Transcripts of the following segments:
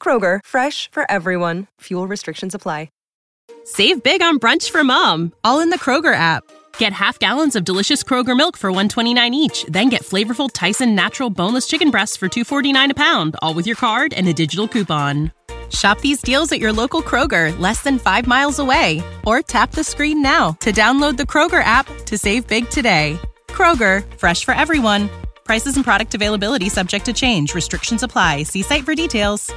Kroger, fresh for everyone. Fuel restrictions apply. Save big on brunch for mom, all in the Kroger app. Get half gallons of delicious Kroger milk for 129 each, then get flavorful Tyson natural boneless chicken breasts for 249 a pound, all with your card and a digital coupon. Shop these deals at your local Kroger, less than 5 miles away, or tap the screen now to download the Kroger app to save big today. Kroger, fresh for everyone. Prices and product availability subject to change. Restrictions apply. See site for details.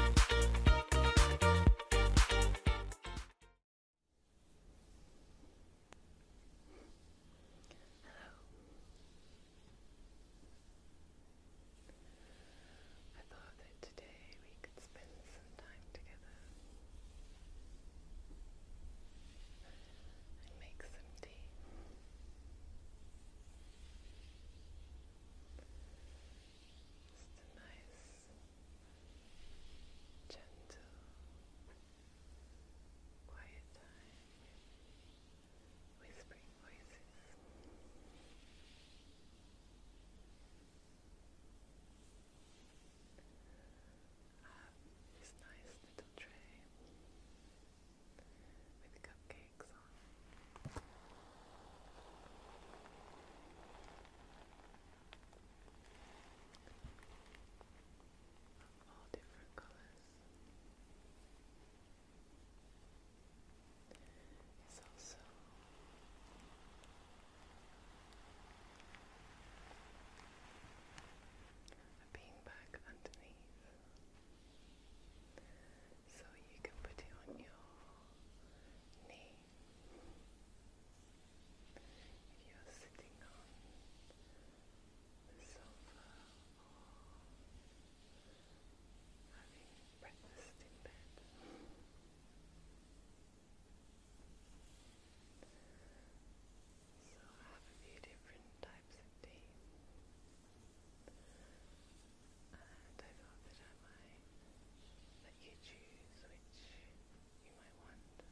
Just a nice, gentle, quiet time whispering voices. I have this nice little tray with cupcakes on. all different colors. It's also a underneath. So you can put it on your knee. If you're sitting on the sofa or having breakfast in bed. So I have a few different types of tea. And I thought that I might let you choose which you might want. So,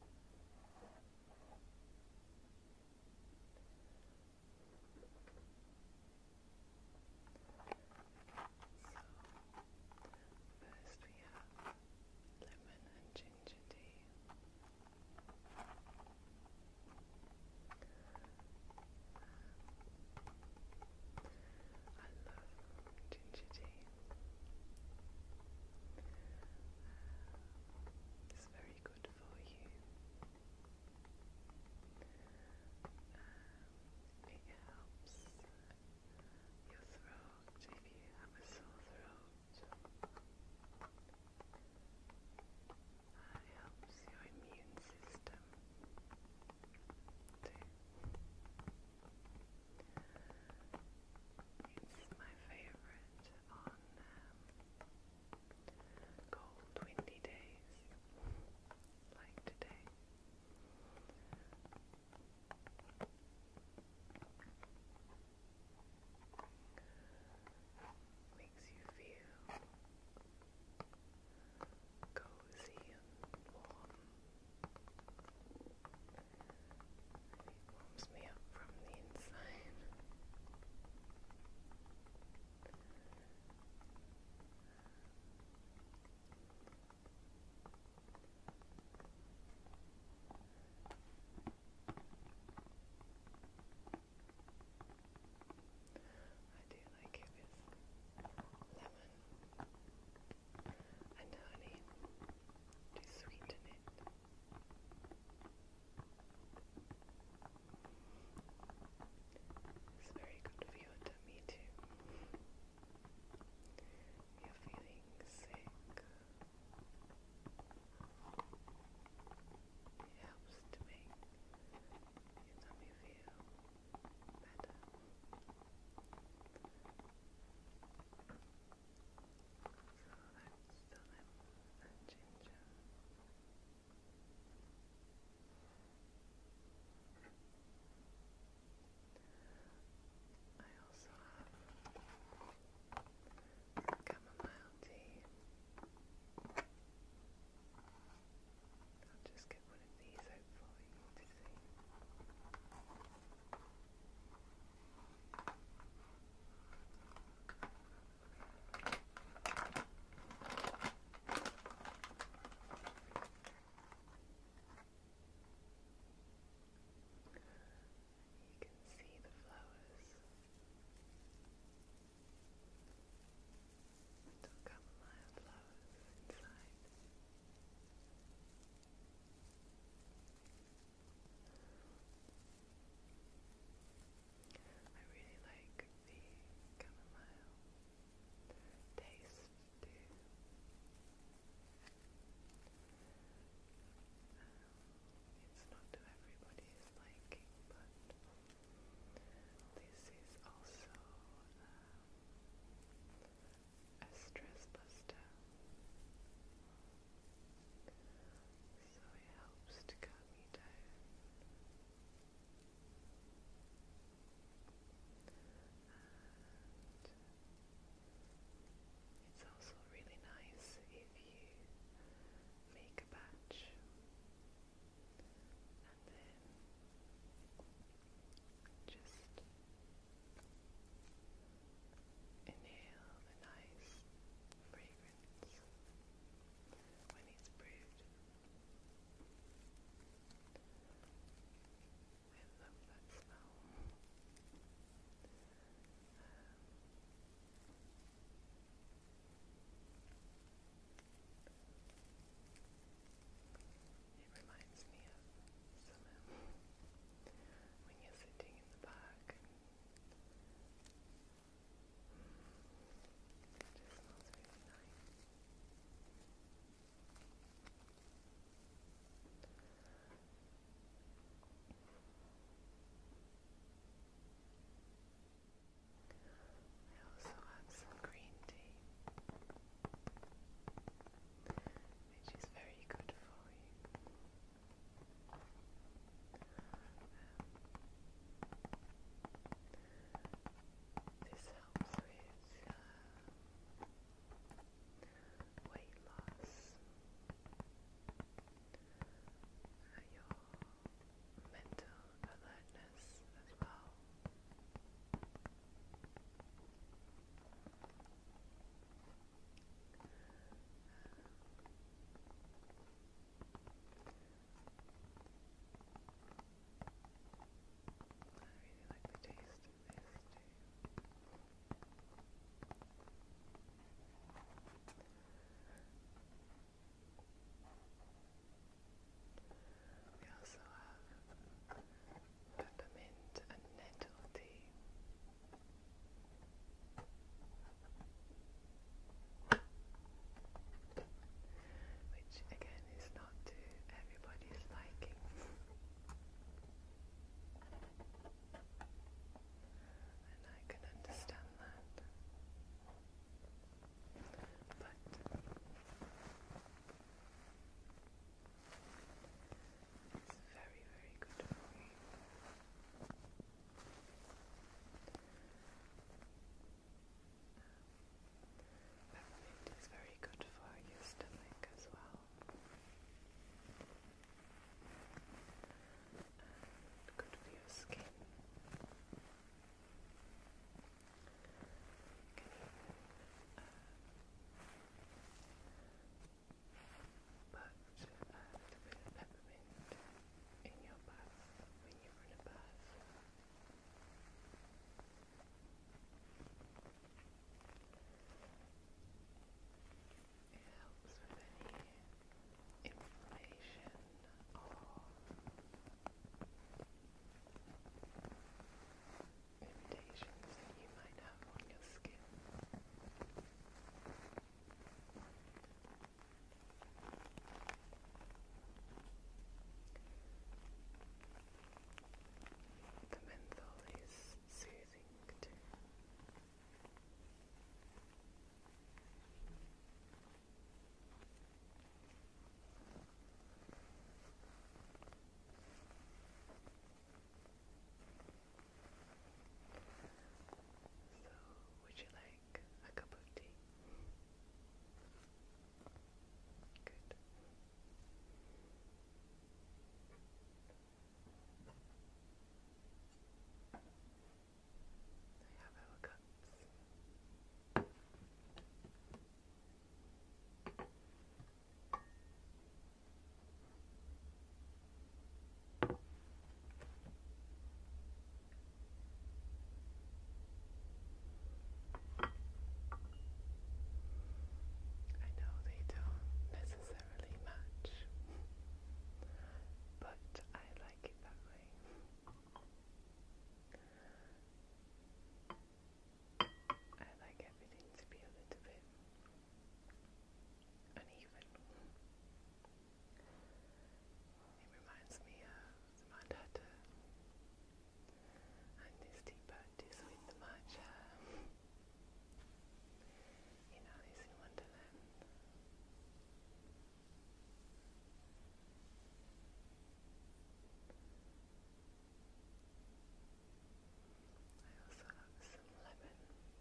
first we have lemon and ginger ginger tea. I love ginger tea. it's very good for you. Um, it helps your throat if you have a sore throat. That helps your immune system It's my favourite on um, cold, windy days like today. Makes you feel cozy and warm. warms me up from the inside. I do like it with lemon and honey to sweeten it. It's very good for your tummy too. You're feeling sick. It helps to make your feel better. So that's the lemon and also have chamomile tea. I'll just get one of these out for you to see. You can see the flowers. Little chamomile flowers inside. I really like the chamomile taste too. It's not everybody's liking, but this is also uh, a stress buster. So it helps to calm me down. It's also really nice if you make a batch and then just inhale the nice fragrance when it's brewed. I love that smell. It reminds me of summer when you're sitting in the park and it just smells really nice. I also have some green tea, which is very good for you. Um, this helps with uh, weight loss uh, your mental alertness as well. I really like the taste of this too. We also have peppermint and nettle tea. Which again is not to everybody's liking. And I can understand that. But it's very, very good for you. Peppermint is very good for your stomach as well and good for your skin. You can peppermint in your bath when you're in a bath. It helps with any inflammation or irritations that you might have on your skin. The menthol is soothing too. So, would you like a cup of tea? Good. I have our cups. I know they don't necessarily match, but I like it that way. I like everything to be a little bit uneven. It reminds me of the Mad and his tea parties with the matcha in Alice in Wonderland. I also have some lemon. Because I like my tea with lemon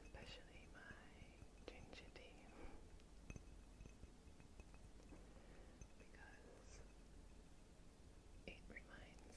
especially my ginger tea because it reminds me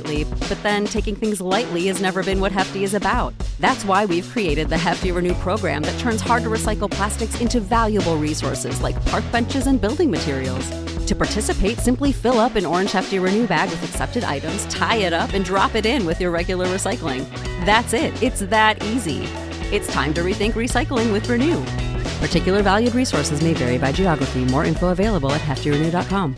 but then taking things lightly has never been what Hefty is about. That's why we've created the Hefty Renew program that turns hard to recycle plastics into valuable resources like park benches and building materials. To participate, simply fill up an orange Hefty Renew bag with accepted items, tie it up, and drop it in with your regular recycling. That's it, it's that easy. It's time to rethink recycling with Renew. Particular valued resources may vary by geography. More info available at heftyrenew.com.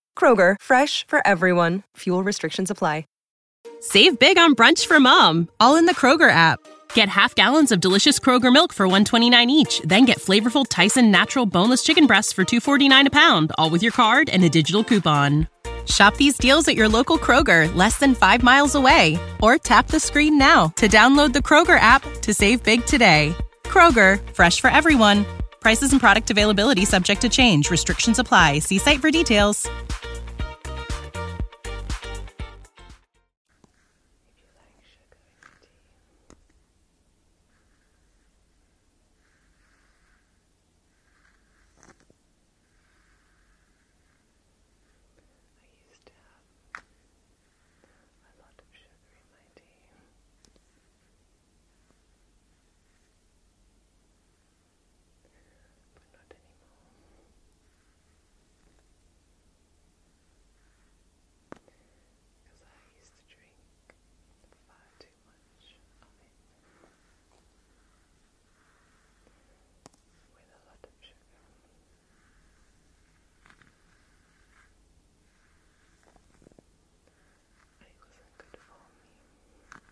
Kroger, fresh for everyone. Fuel restrictions apply. Save big on brunch for mom, all in the Kroger app. Get half gallons of delicious Kroger milk for 129 each, then get flavorful Tyson natural boneless chicken breasts for 249 a pound, all with your card and a digital coupon. Shop these deals at your local Kroger, less than 5 miles away, or tap the screen now to download the Kroger app to save big today. Kroger, fresh for everyone. Prices and product availability subject to change. Restrictions apply. See site for details. But not anymore. Because I used to drink far too much With a lot of sugar but it wasn't good for me. I have my lemon on me.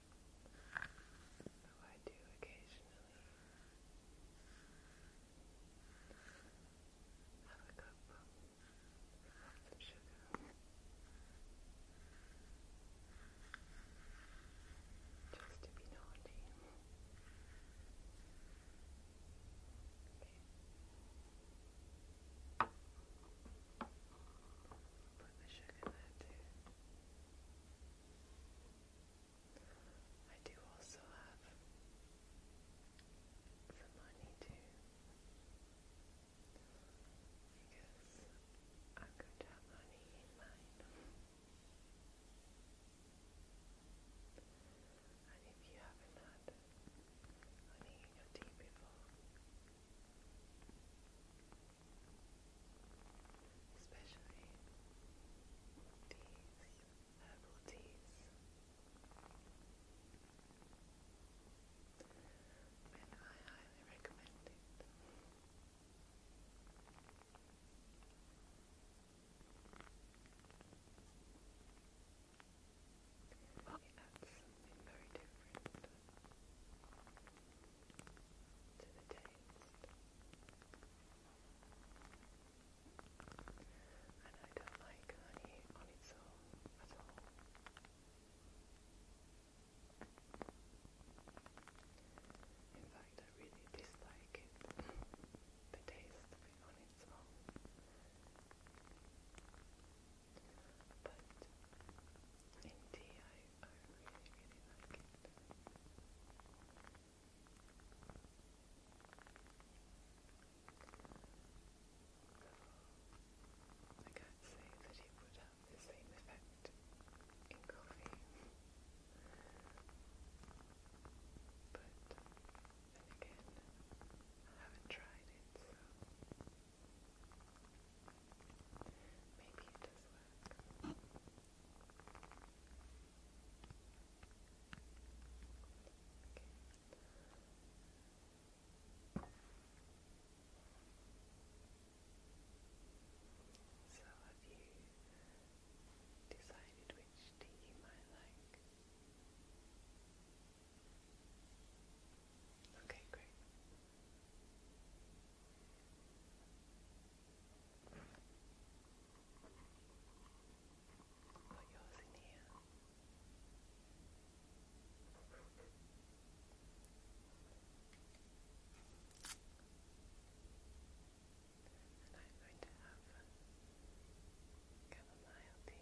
though I do occasionally have a cup of some sugar just to be naughty. Okay put the sugar there too. I do also have some money too, because I'm have money in mine. And if you haven't had honey in your tea before, especially teas, herbal teas. And I highly recommend it. It adds something very different to the I don't like honey on its own at all. In fact, I really dislike the taste on its own. But in tea, I really, really like it. I can't say that it would have the same effect in coffee. But again, I haven't tried it, so Maybe it does work. So, have you decided which tea you might like? Okay, great. Put yours in here. And I'm going to have chamomile tea.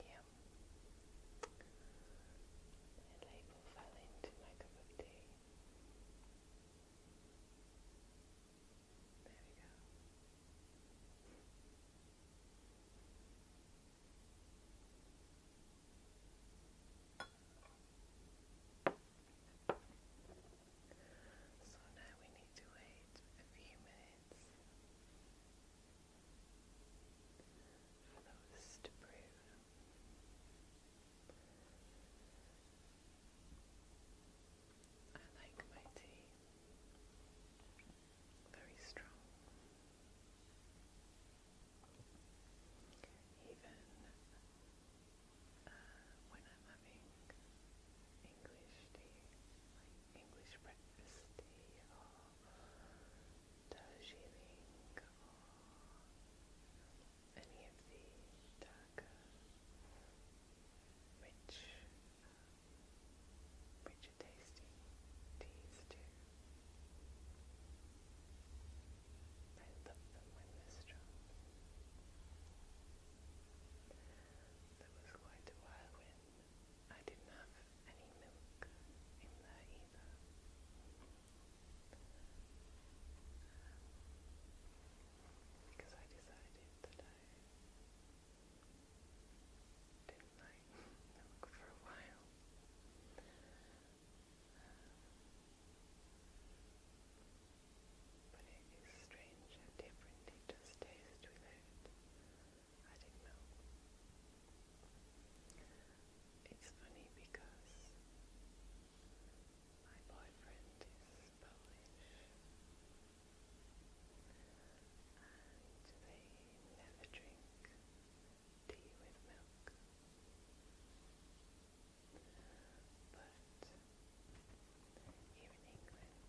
Yeah. My label fell into my cup of tea. There we go. So now we need to wait a few minutes for those to brew. I like my tea very strong. Even when I'm having English tea, English breakfast tea or Darjeeling or any of the darker, rich, um, richer tasting teas too. I love them when they're strong. There was quite a whirlwind I didn't have any milk in there either. Because I decided that I didn't like milk for a while. But it is strange how different it does taste with it. I didn't know. It's funny because my boyfriend is Polish and they never drink tea with milk. But here in England,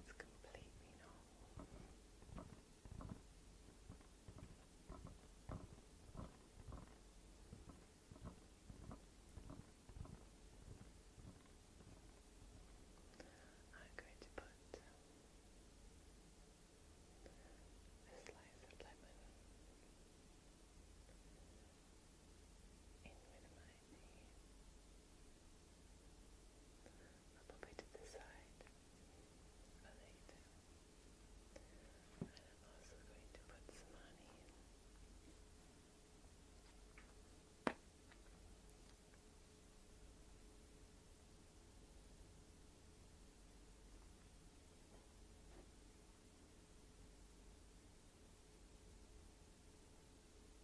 it's completely normal. I'm going to put a slice of lemon in with my name. A little bit to the side. And I'm also going to put some honey in. Wiley Bruce,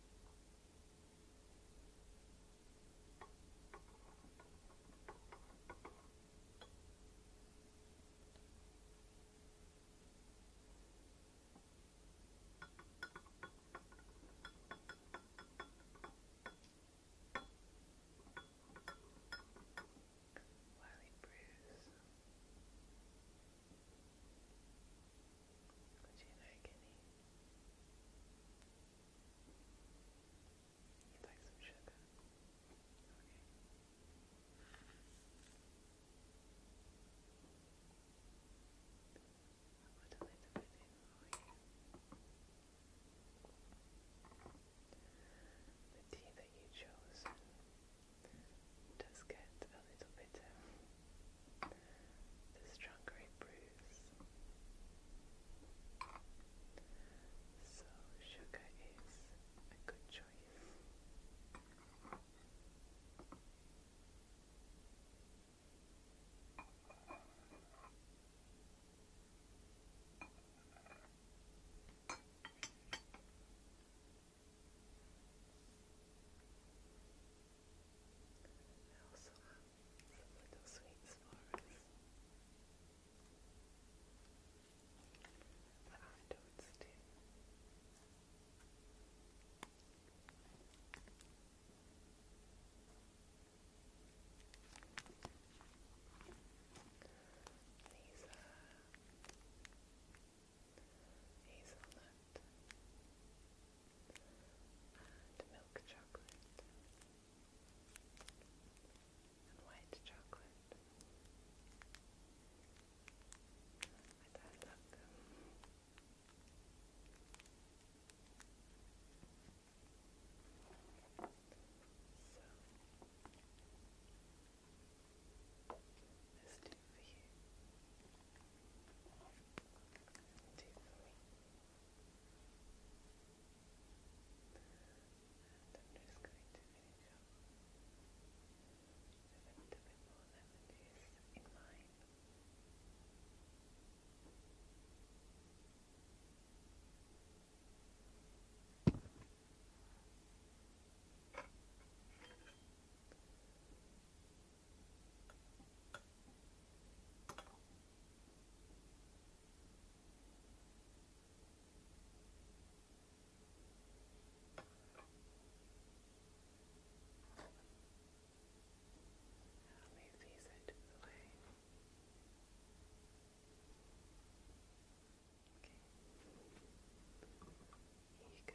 Gina Guinea, you like some sugar? Okay. you. The tea that you chose does get a little bitter. This strong brews. So sugar is a good choice. I also have some little sweets for us. But afterwards too. These are hazelnut and milk chocolate and white chocolate. My dad loved them. So this two for you do for me. And I'm just going to finish up with a little bit more lemon juice in mine. And i move these out the way. Okay. you go.